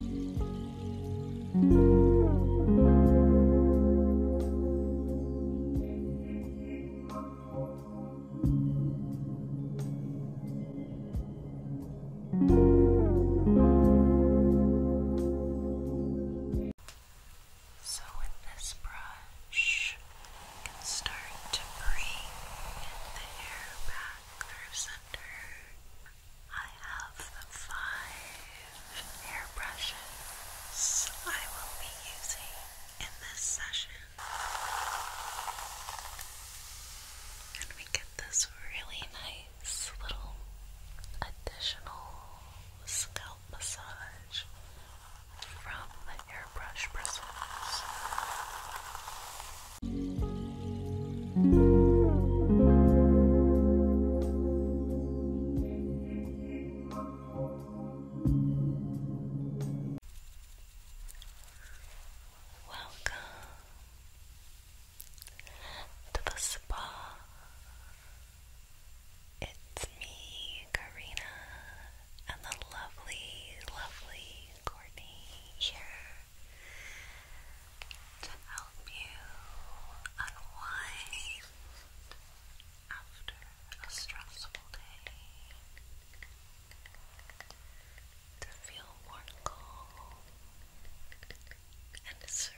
So, with this brush, you can start to bring the hair back through center. I have five hair I will be using in this session. And we get this really nice little additional scalp massage from the airbrush bristles. Welcome to the spa. It's me, Karina, and the lovely, lovely Courtney here to help you unwind after a stressful day, to feel more calm and serene.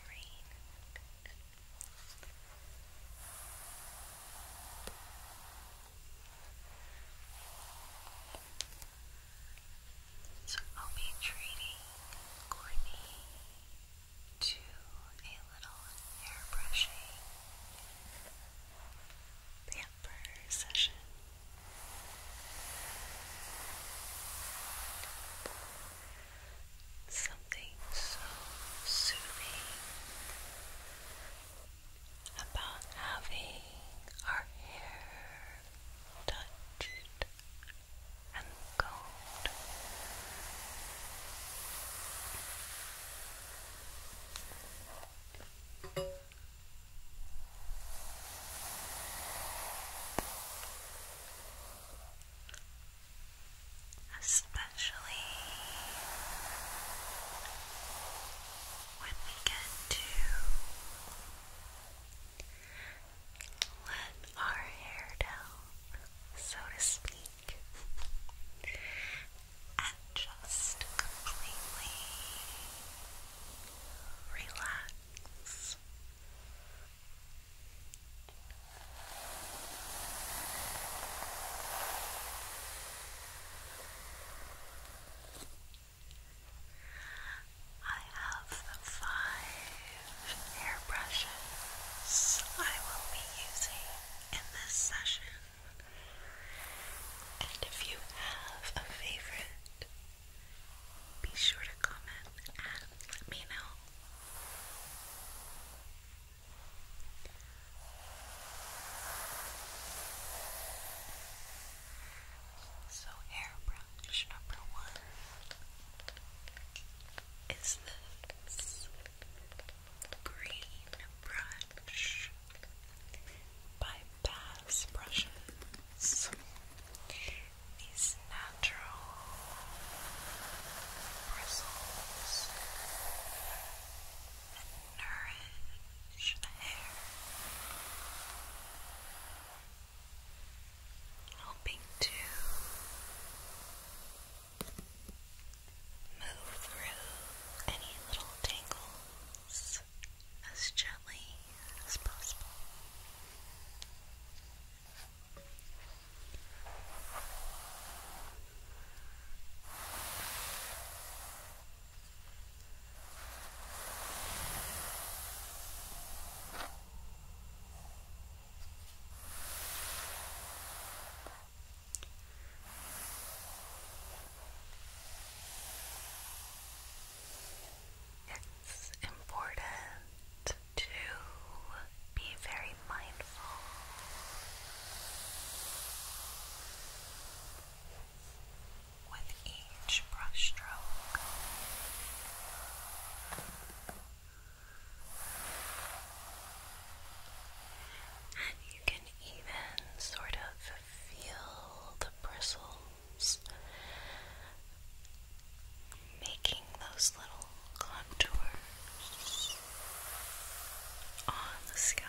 So I'll be treating Courtney to a little hair pamper session. Something so soothing about having our hair touched and cold. Especially when we get to let our hair down, so to speak, and just completely relax. I have five hair I will be using in this session. And if you have a favorite, be sure to comment and let me know. So, airbrush number one is this green brush by Brushes. These natural bristles nourish the hair. Hoping to move through any little tangles as gently as possible. It's important to be very mindful with each brushstroke. And you can even sort of feel the bristles making those little contours on the scalp.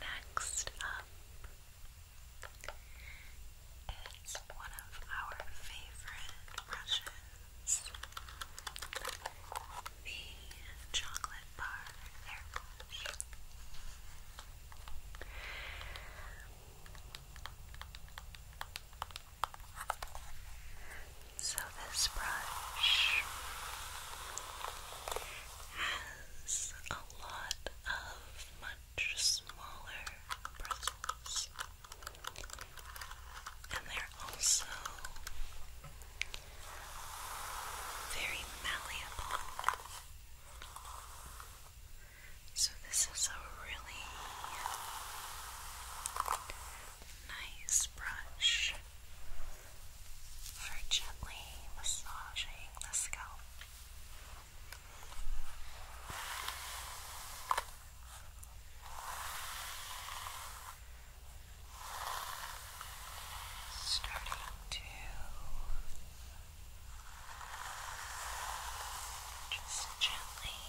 Next up is one of our favorite brushes, the chocolate bar so, this brush has a lot of much smaller bristles, and they're also very malleable. So, this is a really nice brush for gently massaging the scalp. Starting to just gently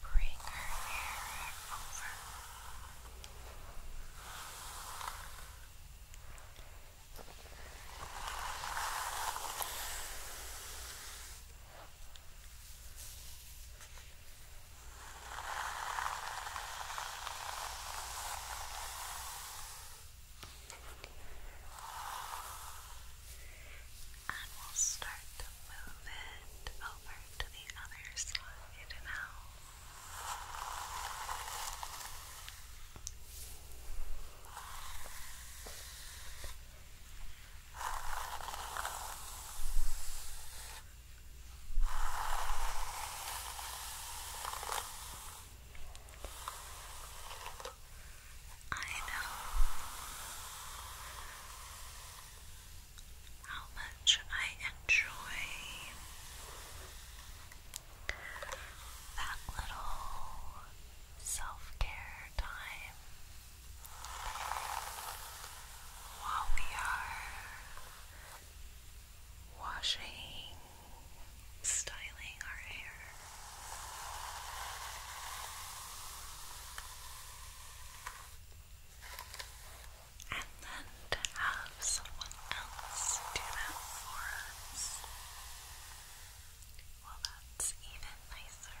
bring her hair over. And we'll start to move it over to the other side now. I know how much I enjoy that little self care time while we are washing styling our hair. And then to have someone else do that for us. Well, that's even nicer.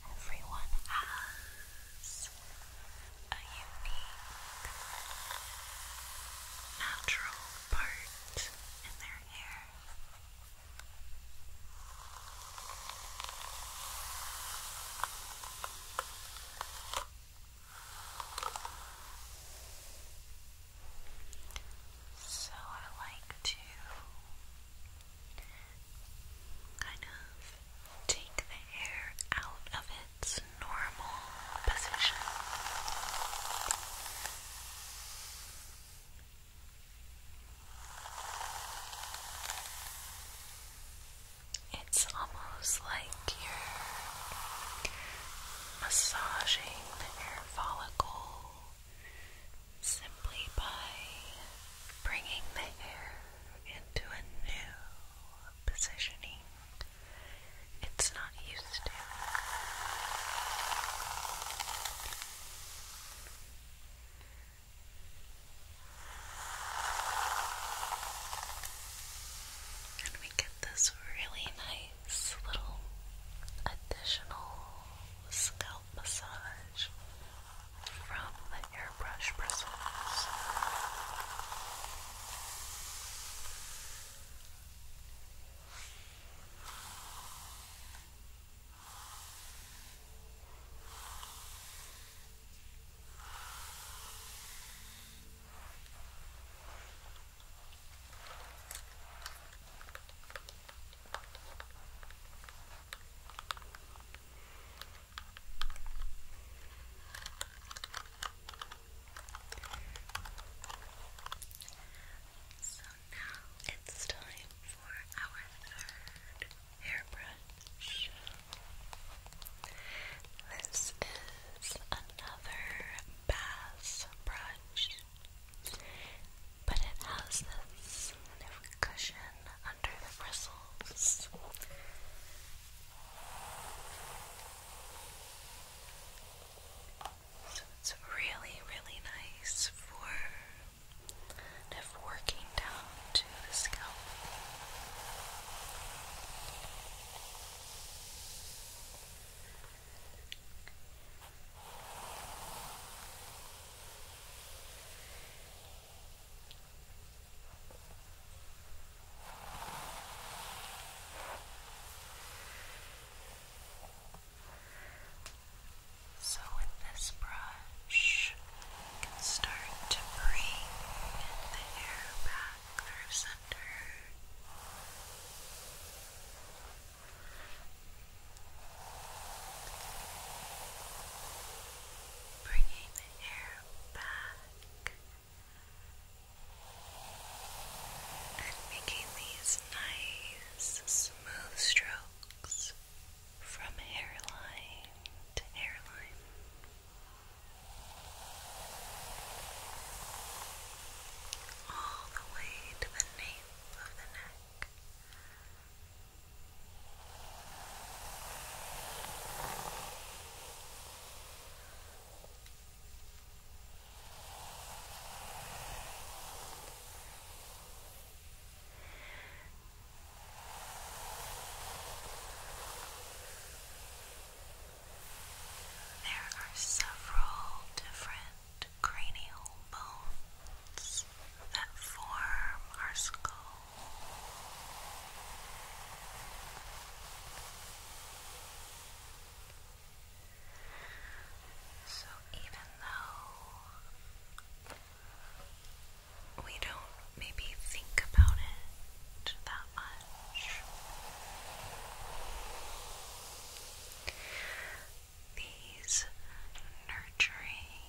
Everyone has a unique natural part in their hair. So I like to kind of take the hair out of its normal position. It's almost like you're massaging the hair follicle simply by bringing the hair into a new positioning it's not used to. And we get this really nice this little additional scalp massage from the airbrush bristles. So now it's time for our third hairbrush. This is another bass brush. But it has this cushion under the bristles. So it's really, really nice for kind working down to the scalp. So, with this brush, you can start to bring the hair back through center. Bringing the air back and making these nice, smooth strokes from hairline to hairline all the way to the nape of the neck. Now there are several different cranial bones that form our skull. So, even though we don't maybe think about it that much, these nurturing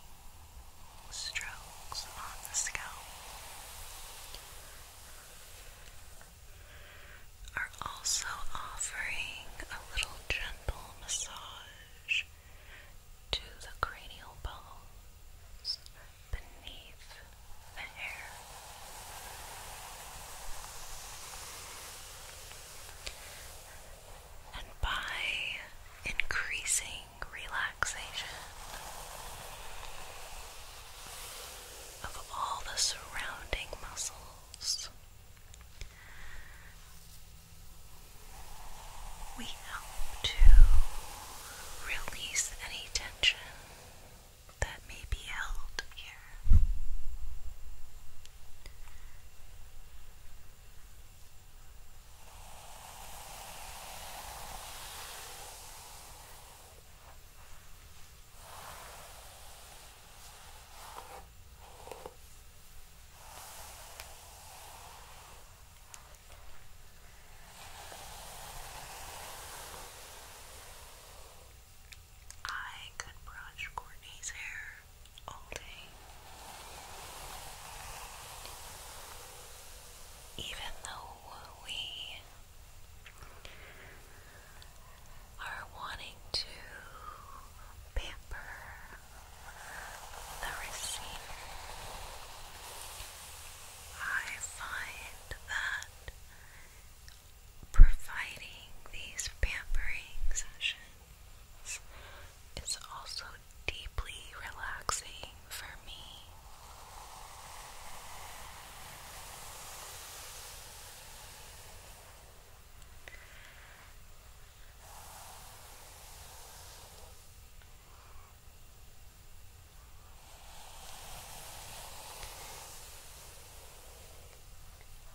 strokes on the scalp are also offering a little gentle massage to the cranial bones beneath and by increasing relaxation of all the surrounding muscles, we help to release any tension that may be held here. I could brush Courtney's hair all day. Even though we are wanting to pamper the receiver, I find that providing these pampering sessions is also deeply relaxing for me.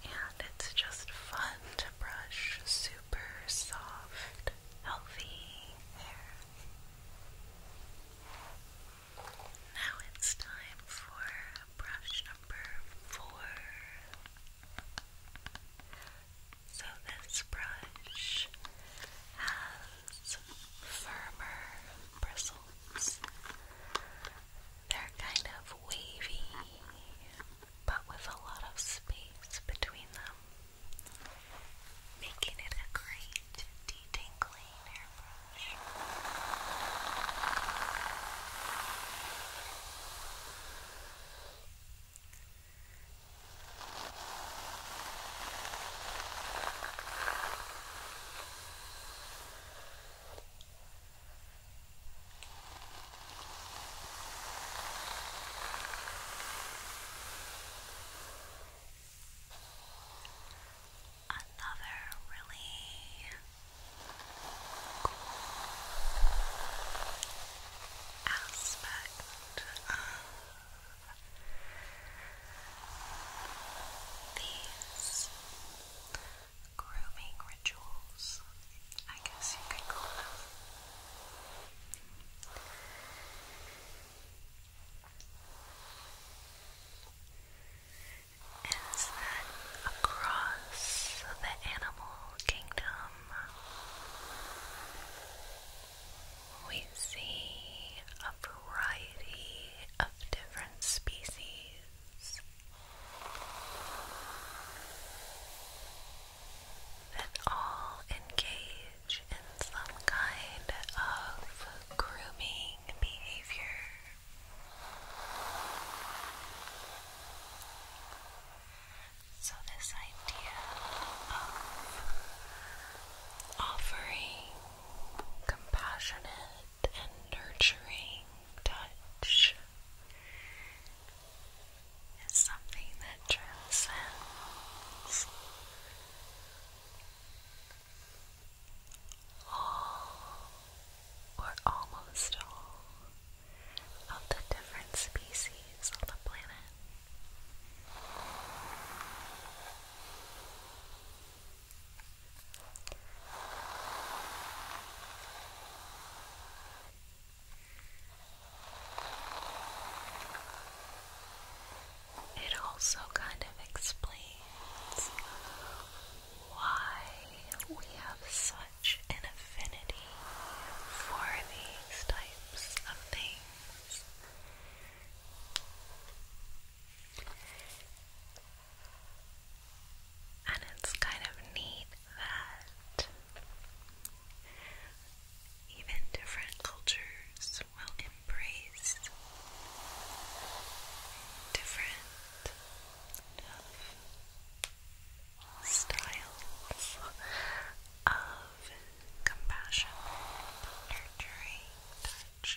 And it's just fun to brush super soft, healthy hair. Now it's time for brush number four. So this brush has firmer bristles ones. They're kind of wavy, but with a lot of space between them, making it a great detangling airbrush. Another really cool aspect of these grooming rituals, I guess you could call them. Is that across the animal kingdom we see a variety of different species that all engage in some kind of grooming behavior. So, this idea of offering compassionate and nurturing touch is something that transcends all or almost all of the different species on the planet. It also kind of explains why we have such an affinity for these types of things. And it's kind of neat that even different cultures will embrace different styles of compassion, nurturing touch.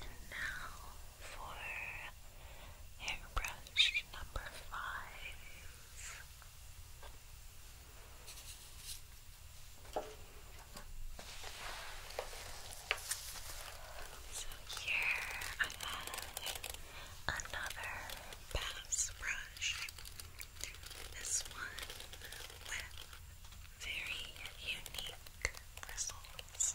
And now for hairbrush number five. So here I have another bass brush. This one with very unique results.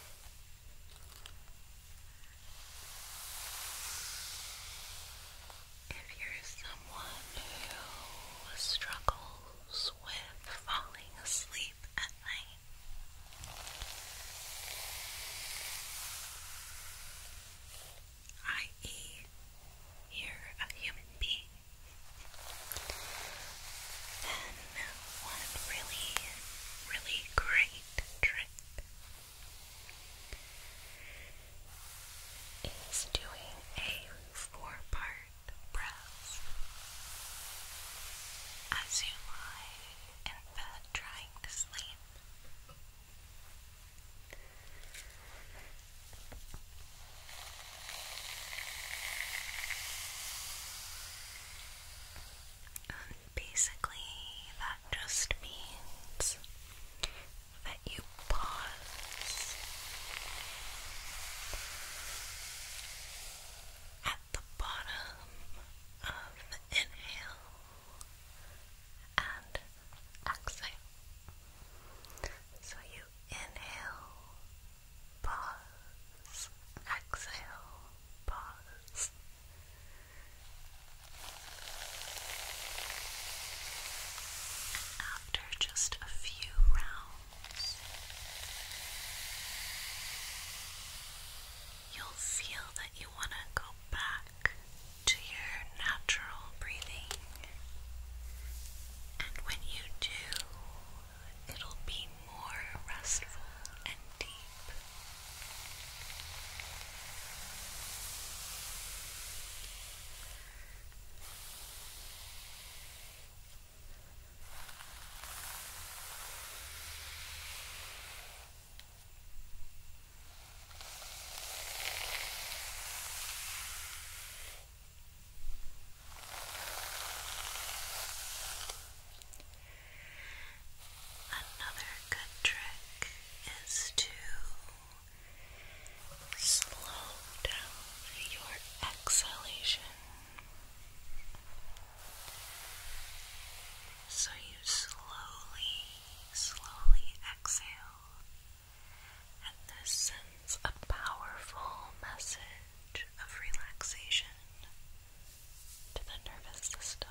If you're someone who struggles with falling asleep at night, i.e., you're a human being, then one really, really great trick is doing a four part breath as you lie in bed trying to sleep. And um, basically, that just means that you pause at the bottom of inhale and exhale. So you inhale pause, exhale, pause. after just a few rounds, you'll feel that you want to go back to your natural breathing. And when you do, it'll be more restful and deep. Another good trick is to slow down your exhalation so you slowly, slowly exhale, and this sends a powerful message of relaxation to the nervous system.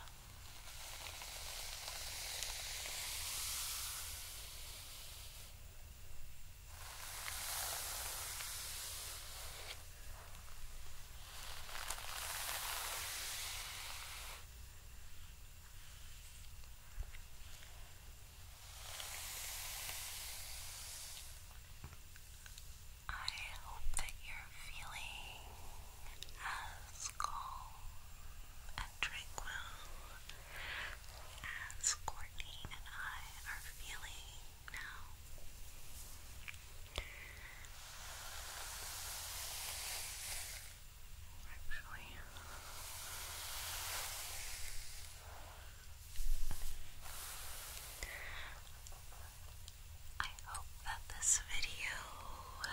I hope that you're feeling as calm and tranquil as Courtney and I are feeling now. Actually, I hope that this video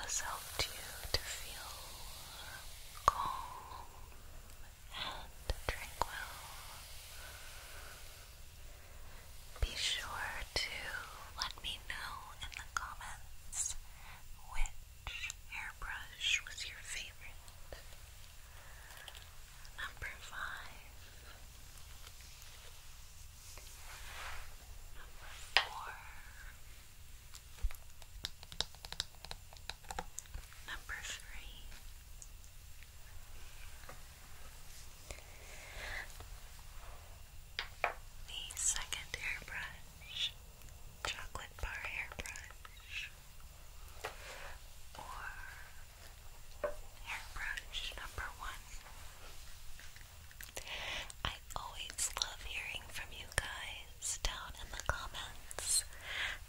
has helped you to feel calm and tranquil. Be sure to let me know in the comments which hairbrush was your favorite. Number five, number four, number three, the second hairbrush, chocolate bar hairbrush, or Hairbrush number one. I always love hearing from you guys down in the comments,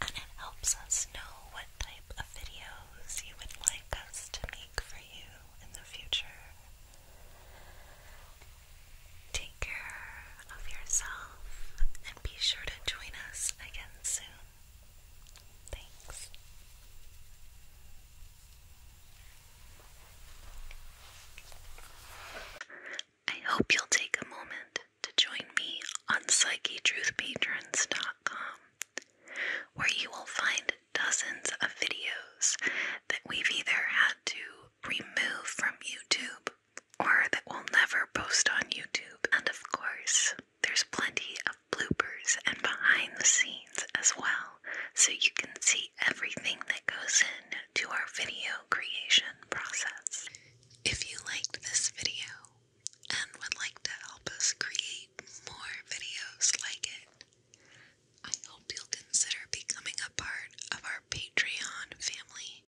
and it helps us know what type of videos you would like us to make for you in the future. Take care of yourself and be sure to join us again soon. Thanks. I hope you'll take a moment to join me on PsycheTruthPatrons.com, where you will find dozens of videos that we've either had to remove from YouTube or that will never post on YouTube, and of course, there's plenty of bloopers and behind the scenes as well, so you can see everything that goes in to our video creation process. If you liked this video and would like to help us create more videos like it, I hope you'll consider becoming a part of our Patreon family.